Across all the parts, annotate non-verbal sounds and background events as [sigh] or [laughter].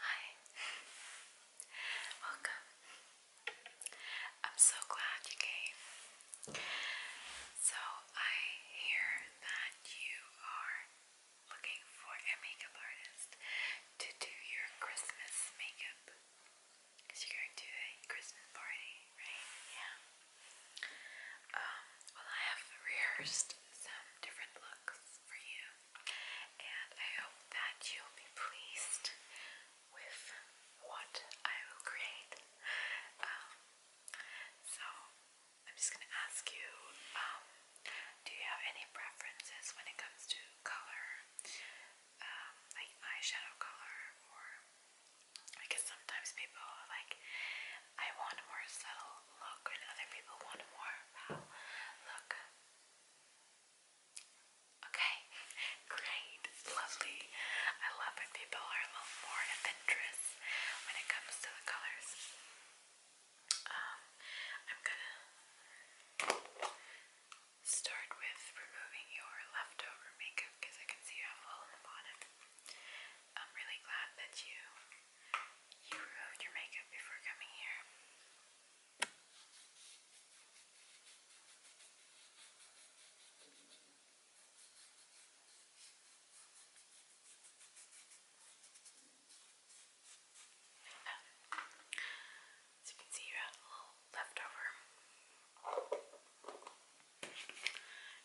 Hi. Welcome. I'm so glad you came. So, I hear that you are looking for a makeup artist to do your Christmas makeup. Because you're going to a Christmas party, right? Yeah. Um, well, I have rehearsed some different looks for you, and I hope that you'll be pleased with what I will create. Um, so, I'm just going to ask you um, do you have any preferences when it comes to color, um, like eyeshadow color, or I sometimes people like I want a more subtle look, and other people want a more wow look. Okay, great, lovely. I love when people are a little more adventurous when it comes to the colors. Um, I'm gonna start with removing your leftover makeup because I can see you have a little in the I'm really glad that you you removed your makeup before coming here. As you can see, you have a little leftover.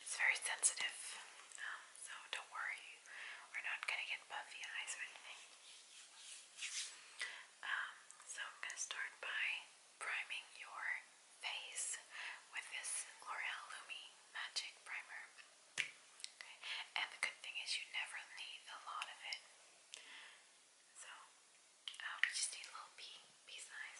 It's very sensitive, so don't worry you are not going to get puffy eyes or anything. Um, so I'm going to start by priming your face with this L'Oreal Lumi Magic Primer. And the good thing is you never need a lot of it. So i uh, just need a little pea, pea size.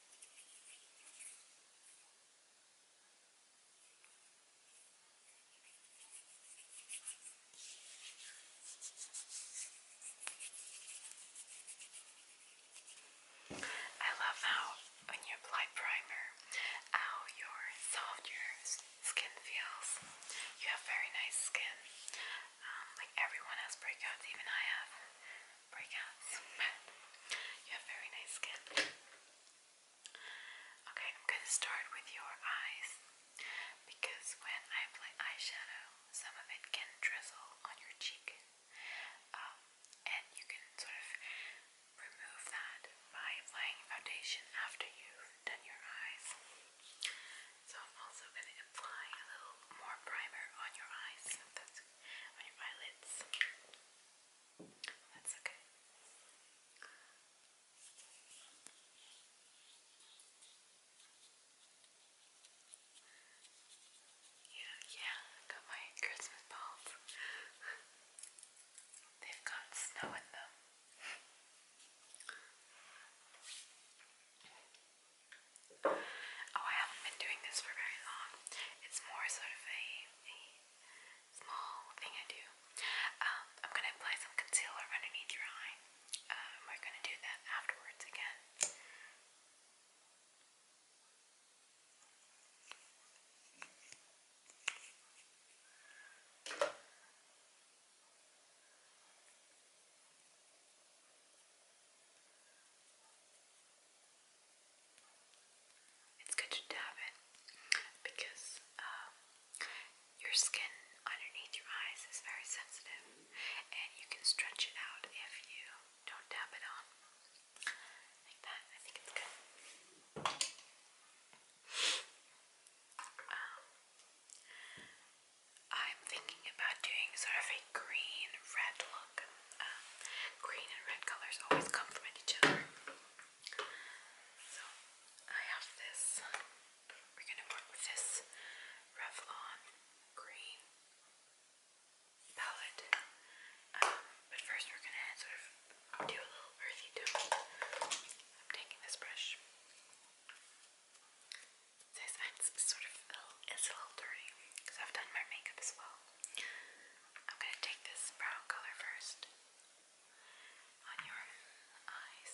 I love how when you apply primer, how your soft skin feels. You have very nice skin. Um, like everyone has breakouts, even I have breakouts, [laughs] you have very nice skin. Okay, I'm going to start with your eyes because when I apply eyeshadow, some of it can drizzle on your cheek, um, and you can sort of remove that by applying foundation after you've done your eyes. So I'm also going to apply a little more primer on your eyes. on your eyelids. That's okay. Yeah, yeah, got my Christmas balls. They've got snow in them. Oh, I haven't been doing this for very long. It's more sort of a, a small thing I do. Um, I'm going to apply some concealer underneath your eye. Um, we're going to do that afterwards again. It's good to dab it because um, your skin underneath your eyes is very sensitive and you can stretch it out if you don't dab it on. Like that, I think it's good. Um, I'm thinking about doing sort of a green-red look. Um, green and red colors always complement each other. So I have this. We're going to work with this Revlon green palette. Um, but first we're going to sort of do a little earthy tone. I'm taking this brush. This I'm sort of a a little dirty because I've done my makeup as well. I'm gonna take this brown color first on your eyes.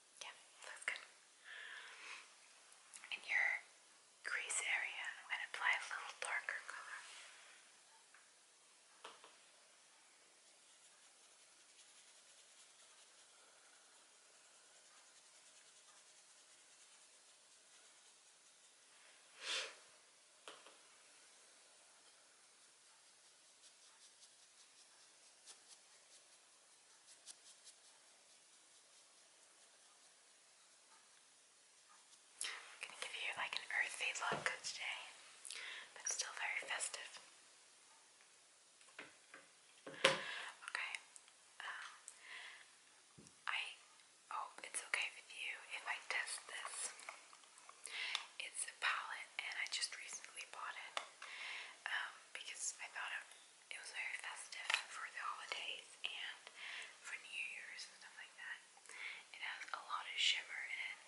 Yeah, that's good. In your crease area, I'm going to apply a little darker color. Okay, gonna give you like an earthy look today, but still very festive. Okay. Um, I hope it's okay with you if I test this. It's a palette, and I just recently bought it um, because I thought it it was very festive for the holidays and for New Year's and stuff like that. It has a lot of shimmer in it.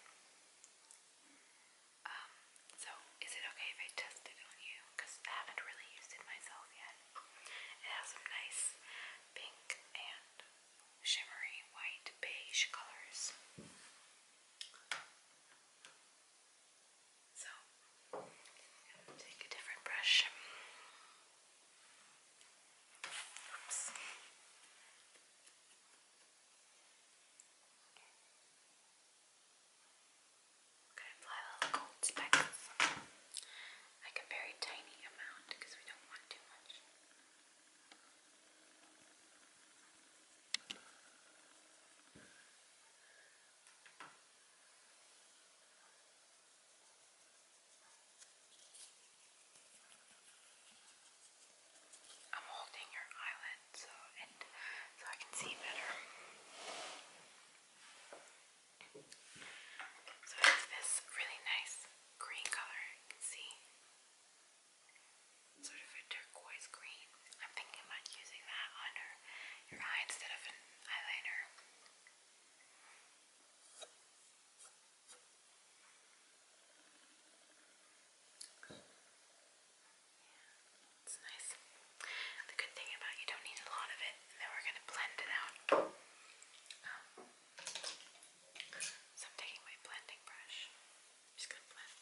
Um, so is it okay if I test it on you? Because I haven't really used it myself yet. It has some nice pink and shimmery white beige colors. So, take a different brush. Oops. I'm going to apply a little gold specs, like a very tiny amount because we don't want too much. I'm holding your eyelid so so I can see better. So it's this really nice green color, you can see. Sort of a turquoise green. I'm thinking about using that under your eye instead of eyeliner. it's nice. The good thing about you don't need a lot of it, and then we're gonna blend it out. Um, so I'm taking my blending brush. just gonna blend.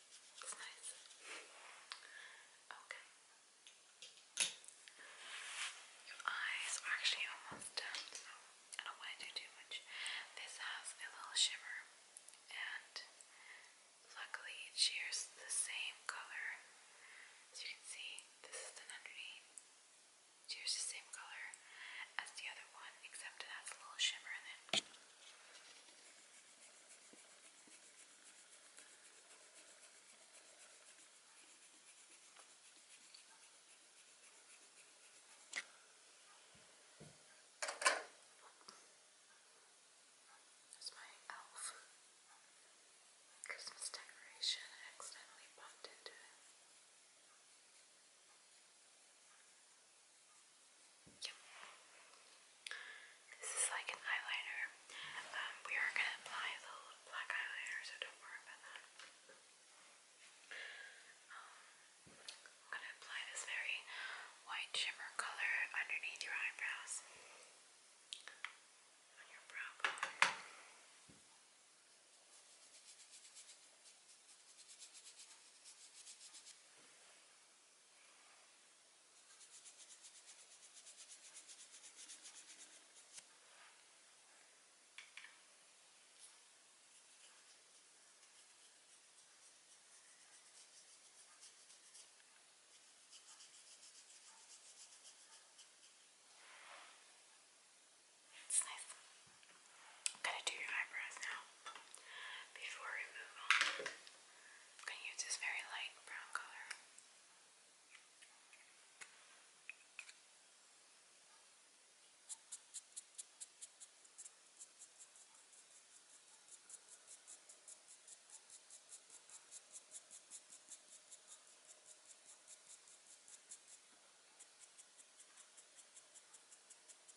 It's Okay. Your eyes are actually almost done, so I don't want to do too much. This has a little shimmer, and luckily it shares the same color. As you can see, this is the underneath. shares the same color as the other one, except it has a little shimmer in it. There's my elf Christmas decoration. I accidentally bumped into it. Yep. This is like an eyeliner. Um, we are going to apply the little black eyeliner, so don't worry about that. Um, I'm going to apply this very white shimmer color underneath your eyebrows. On your brow bone. It's nice. I'm gonna do your eyebrows now. Before we move on, I'm going to use this very light brown color. Okay,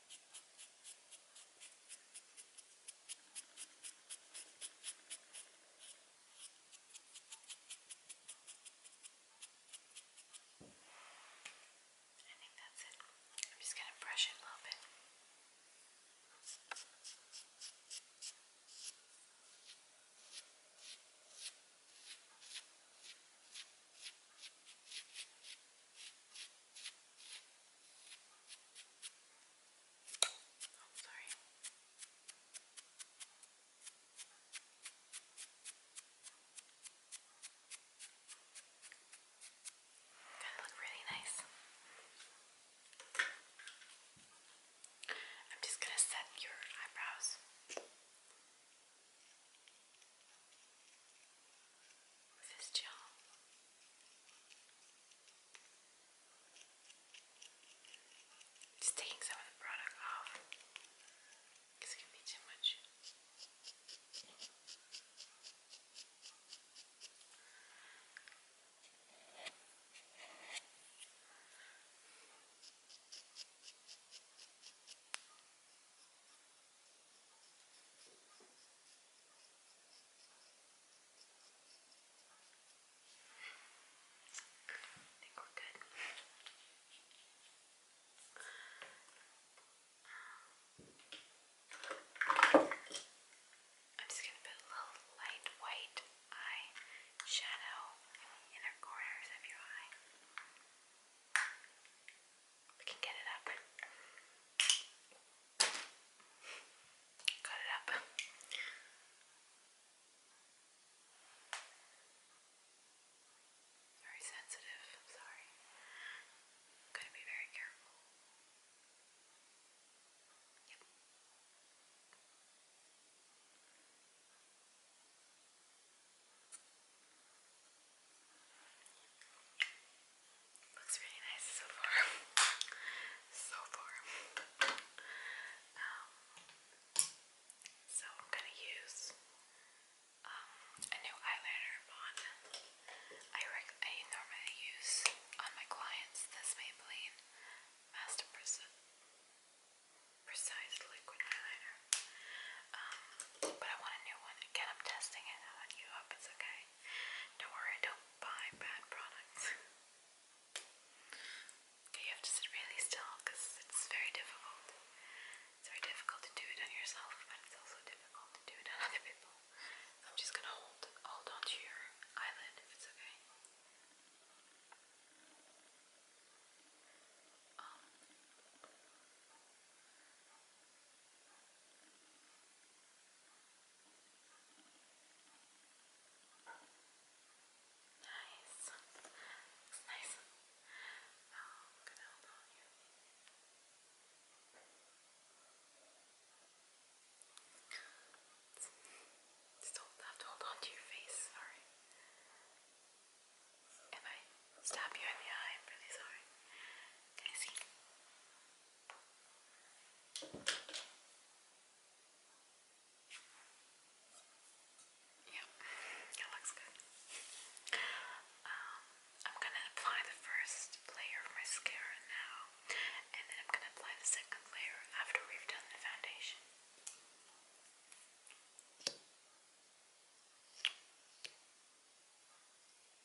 I think that's it. I'm just going to brush it a little bit. Okay. Oh, sorry. Gotta look really nice. I'm just gonna set your eyebrows with his charm. Just taking some of the product off because it can be too much. I think am just going to put a little light white eye shadow in the corners of your eye. We can get it up. Got it up. Very sensitive, sorry. i to be very careful. Yep. Looks really nice so far. [laughs] so far. Um, so I'm gonna use um, a new eyeliner I normally use on my clients this Maybelline Master Precision. Precise liquid eyeliner. Um, but I want a new one. Again, I'm testing it. I want you up. It's okay. Don't worry, I don't buy bad products. okay, [laughs] you have to sit really still because it's very difficult. It's very difficult to do it on yourself, but it's also difficult to do it on [laughs] other people. I'm just gonna hold hold on to your eyelid if it's okay. Um, Nice. Looks nice. I'm hold on here. Still have to hold on your face, sorry. If I stab you in the eye, I'm really sorry. Can I see? Yeah, it looks good. Um, I'm gonna apply the first layer of mascara now, and then I'm gonna apply the second layer after we've done the foundation.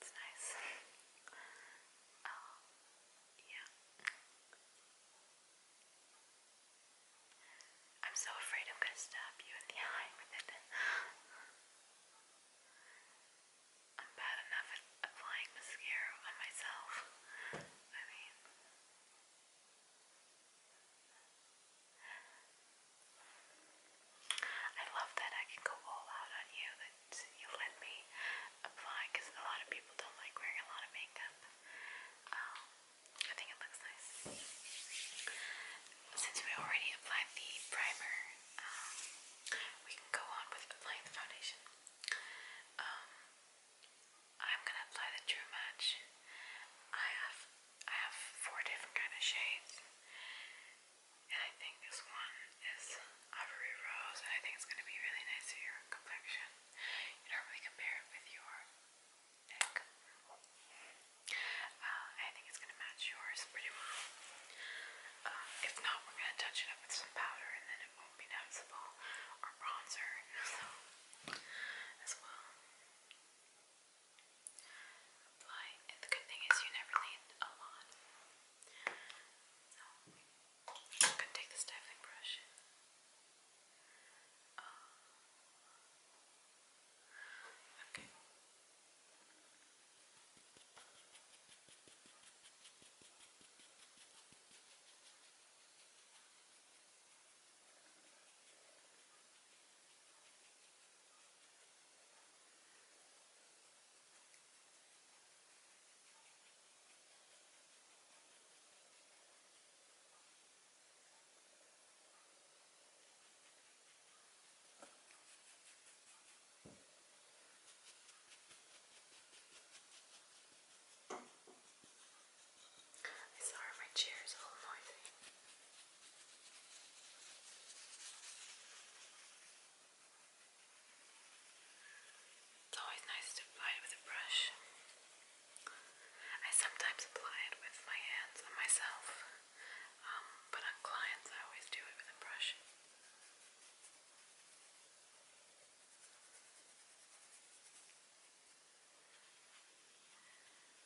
It's nice. [laughs] Oh, yeah. I'm so afraid I'm going to stab you in the [laughs] eye I'm bad enough at applying mascara on myself. I mean, I love that I can go all out on you, that you let me apply, because a lot of people don't like wearing a lot of makeup. Um, I think it looks nice. Since we already applied the primer, um, we can go on with applying the foundation. Um, I'm gonna apply the True Match. I have I have four different kind of shades. And I think this one is Ivory Rose, and I think it's going to be really nice for your complexion. You don't really compare it with your neck. Uh, I think it's going to match yours pretty well. Uh, if not, we're going to touch it up with some powder, and then it won't be noticeable or bronzer, [laughs] so as well the good thing is you never lean a lot. So, gonna take the styling brush. Uh, okay. I sorry my chair is a little noisy. It's always nice to apply it with a brush. I sometimes apply it with my hands on myself, um, but on clients I always do it with a brush.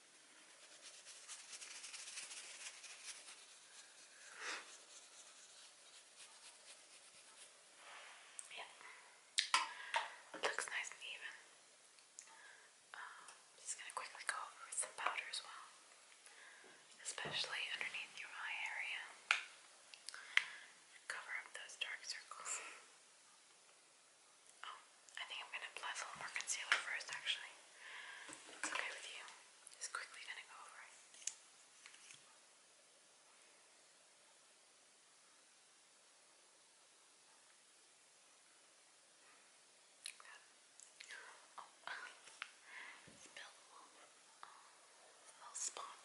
Yeah, it looks nice and even. Um, just gonna quickly go over with some powder as well, especially underneath your eye area. Cover up those dark circles. Oh, I think I'm gonna apply a little more concealer first, actually. It's okay with you. Just quickly going to go over it. Yeah. Oh, it's a little, um, little spot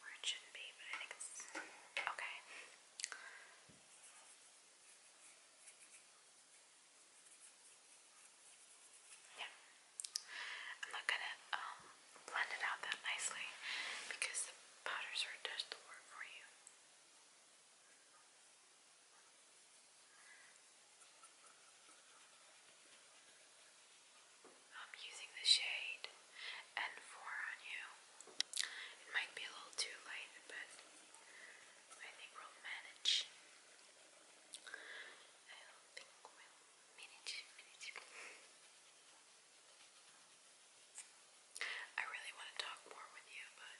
where it shouldn't be, but I think it's okay. Yeah. I'm not gonna um, blend it out that nicely because powders are does the work for you. I'm using the shade N4 on you. It might be a little too light, but I think we'll manage. I really want to talk more with you, but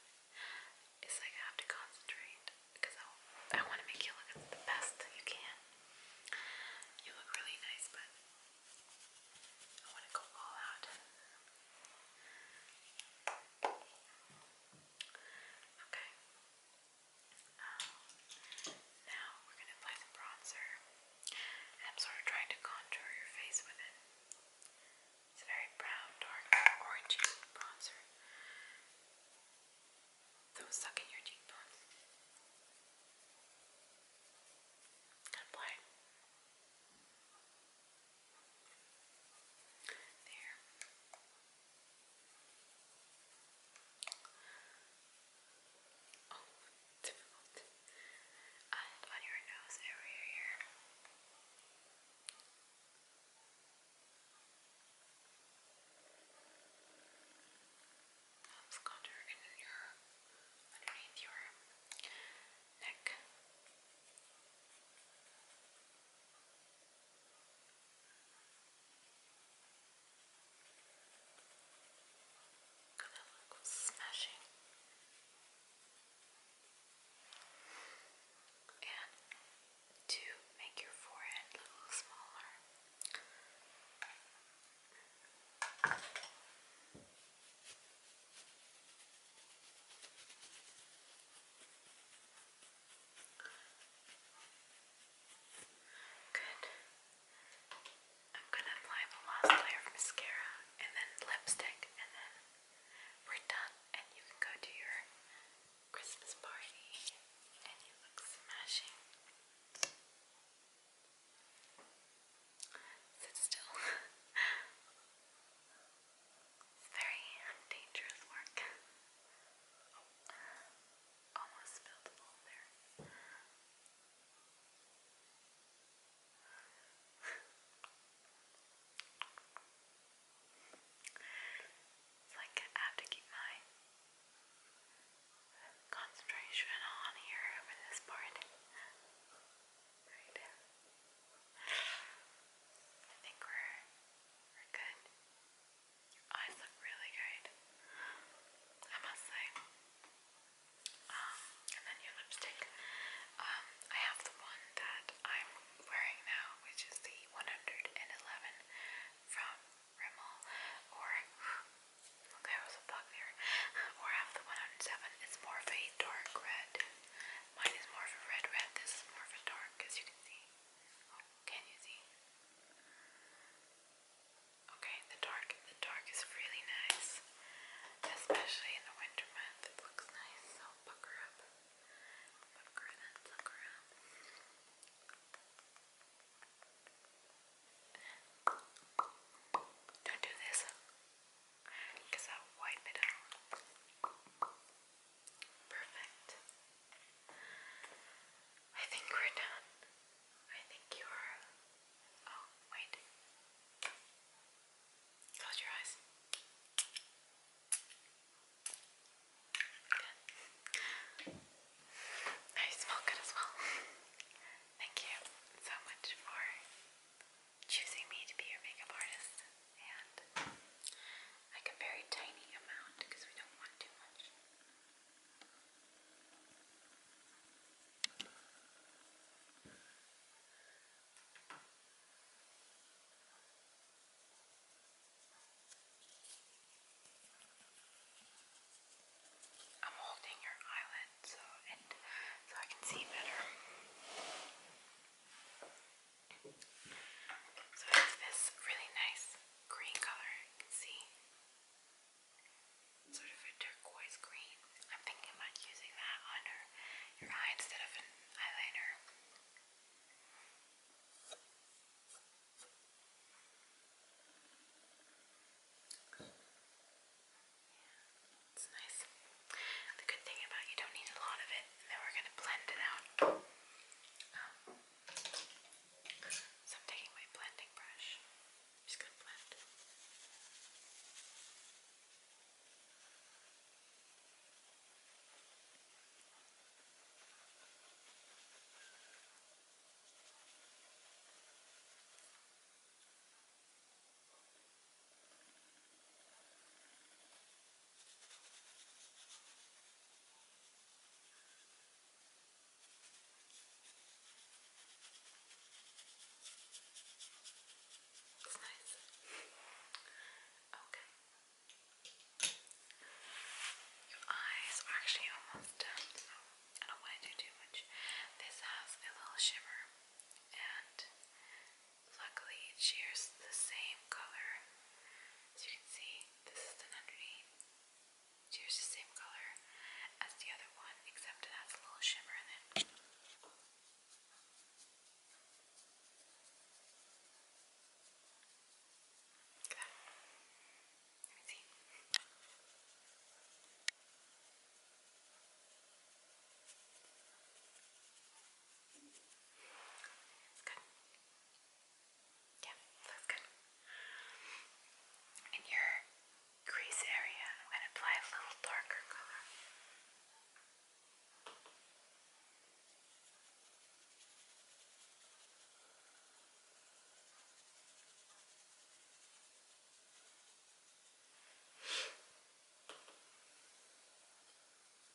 it's like I have to concentrate because I, want to make you look the best you can. You look really nice, but I want to go all out. Okay. Um, now we're going to apply the bronzer. And I'm sort of trying to contour your face with it. It's a very brown, dark, orangey bronzer. Those suck in your cheekbones. And apply it. There. Oh, difficult. And on your nose area here. Helps contour in your underneath your neck. That look was smashing. And to make your forehead a little smaller. Just Good. I'm gonna apply the last layer of mascara and then lipstick, and then we're done, and you can go to your Christmas party, and you look smashing. Sit still. [laughs] very dangerous work. Oh, almost spilled the bowl there. it's like I have to keep my concentration on here over this part. Right. I think we're we're good. Your eyes look really good. I must say. Um, and then your lipstick. Um, I have the one that I'm wearing now, which is the 111 from Rimmel, or look, [sighs] there was a bug there. Or I have the 107. It's more of a dark red. Mine is more of a red red. This is more of a dark, you you see? Oh, can you see? Okay, the dark, the dark is really nice, especially in the winter month. It looks nice, so pucker up, pucker and pucker up. Don't do this, cause I'll wipe Perfect. I think we're done. I think you are. Oh, wait. Close your eyes. Good. I smell good as well. Thank you so much for choosing me to be your makeup artist and like a very tiny amount because we don't want too much. I'm holding your eyelid so and so I can see better. So it's this really nice green color, you can see. Sort of a turquoise green. I'm thinking about using that under your eye instead of an eyeliner. Yeah, it's nice. The good thing about you don't need a lot of it, and then we're going to blend it out. Um, so I'm taking my blending brush. I'm just going to blend. Okay. It's nice. okay. Your eyes are actually almost done, I don't want to do too much. This has a little shimmer and Luckily, it shares the same color. As you can see, this is the underneath. It shares the same color as the other one, except it has a little shimmer in it. Look Let me see. It's good. Yeah, that's good. In your crease area, I'm going to apply a little darker color. Okay.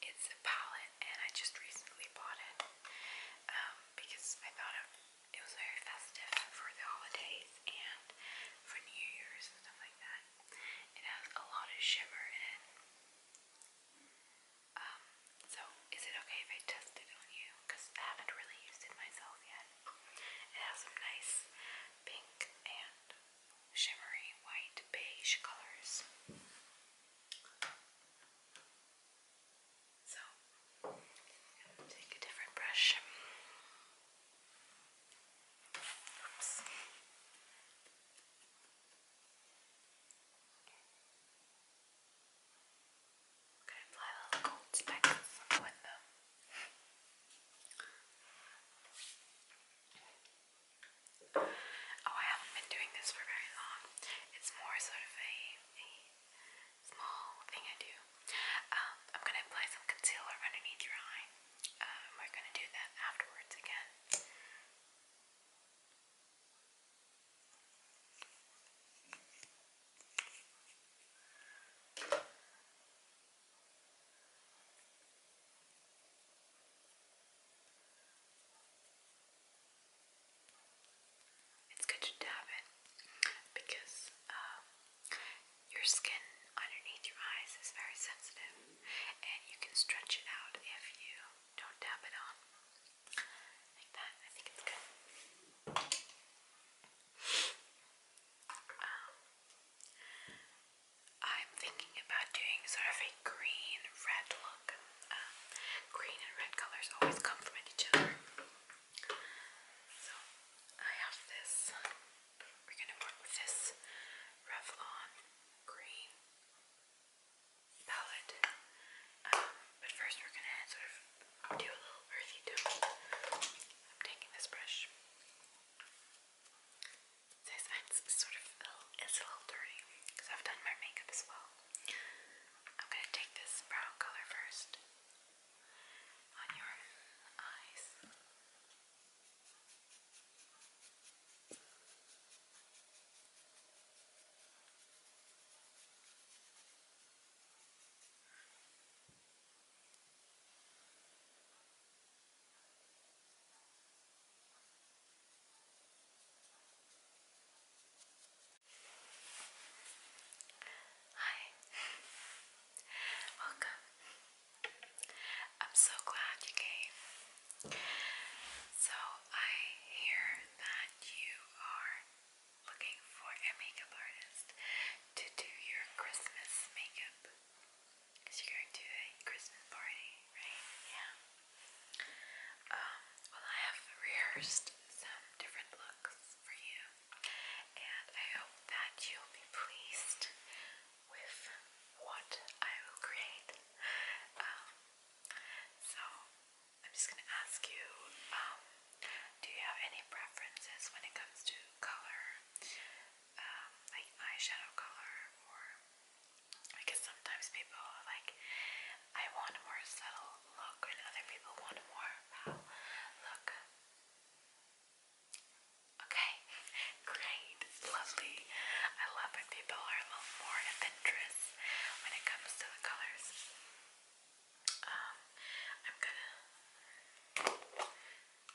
It's a palette and I just recently bought it um, because I thought it, it was very festive for the holidays and for New Year's and stuff like that. It has a lot of shimmer in it. Um, so is it okay if I test it on you? Because I haven't really used it myself yet. It has some nice pink and shimmery white beige colors. So, take a different brush. Oops. I'm going to apply a little gold speck on the window. Oh, I haven't been doing this for very long. It's more sort of a, a small thing I do. Um, I'm going to apply some concealer underneath your eye. Um, we're going to do that afterwards again. It's good to dab it because um, your skin underneath your eyes is very sensitive and you can stretch it out if you don't dab it on. Like that, I think it's good. Um, I'm thinking about doing sort of a green red look. Um, green and red colors always complement each other. So I have this. We're gonna work with this Revlon green palette. Um, but first we're gonna sort of do a little earthy tone. I'm taking this brush. This sort of a a little dirty because I've done my makeup as well. I'm gonna take this brown color first on your eyes. Hi. Welcome. I'm so glad you came. So, I hear that you are looking for a makeup artist to do your Christmas makeup. Because you're going to a Christmas party, right? Yeah. Um, well, I have rehearsed some different looks for you, and I hope that you'll be pleased with what I will create. Um, so, I'm just going to ask you um, do you have any preferences when it comes to color? like eyeshadow color or because sometimes people are like, I want more subtle look, and other people want more look. Okay, [laughs] great, lovely. I love when people are a little more adventurous when it comes to the colors. Um, I'm gonna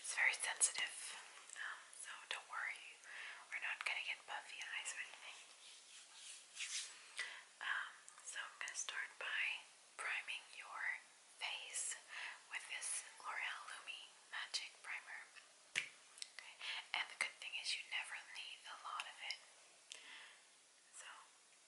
It's very sensitive, um, so don't worry, we're not gonna get puffy eyes um, so I'm gonna start by priming your face with this L'Oreal Lumi Magic Primer. And the good thing is you never need a lot of it. So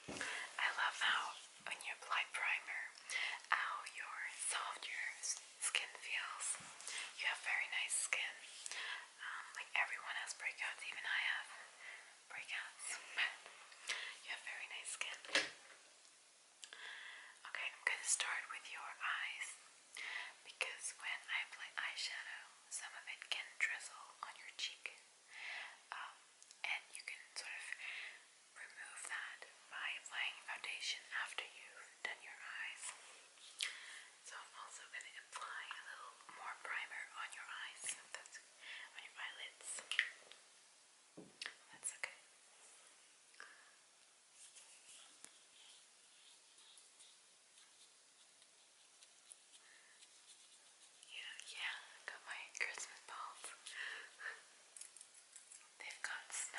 I love how when you apply primer, how your soft your skin feels. You have very nice skin. Um, like everyone has breakouts, even I have breakouts. [laughs] you have very nice skin. Okay, I'm gonna start with your eyes because when I apply eyeshadow, some of it can drizzle on your cheek. Um, and you can sort of remove that by applying foundation after you've done your eyes. So I'm also going to apply a little more primer on your eyes, that's on your eyelids. That's okay. Yeah, yeah, got my Christmas balls. [laughs] They've got snow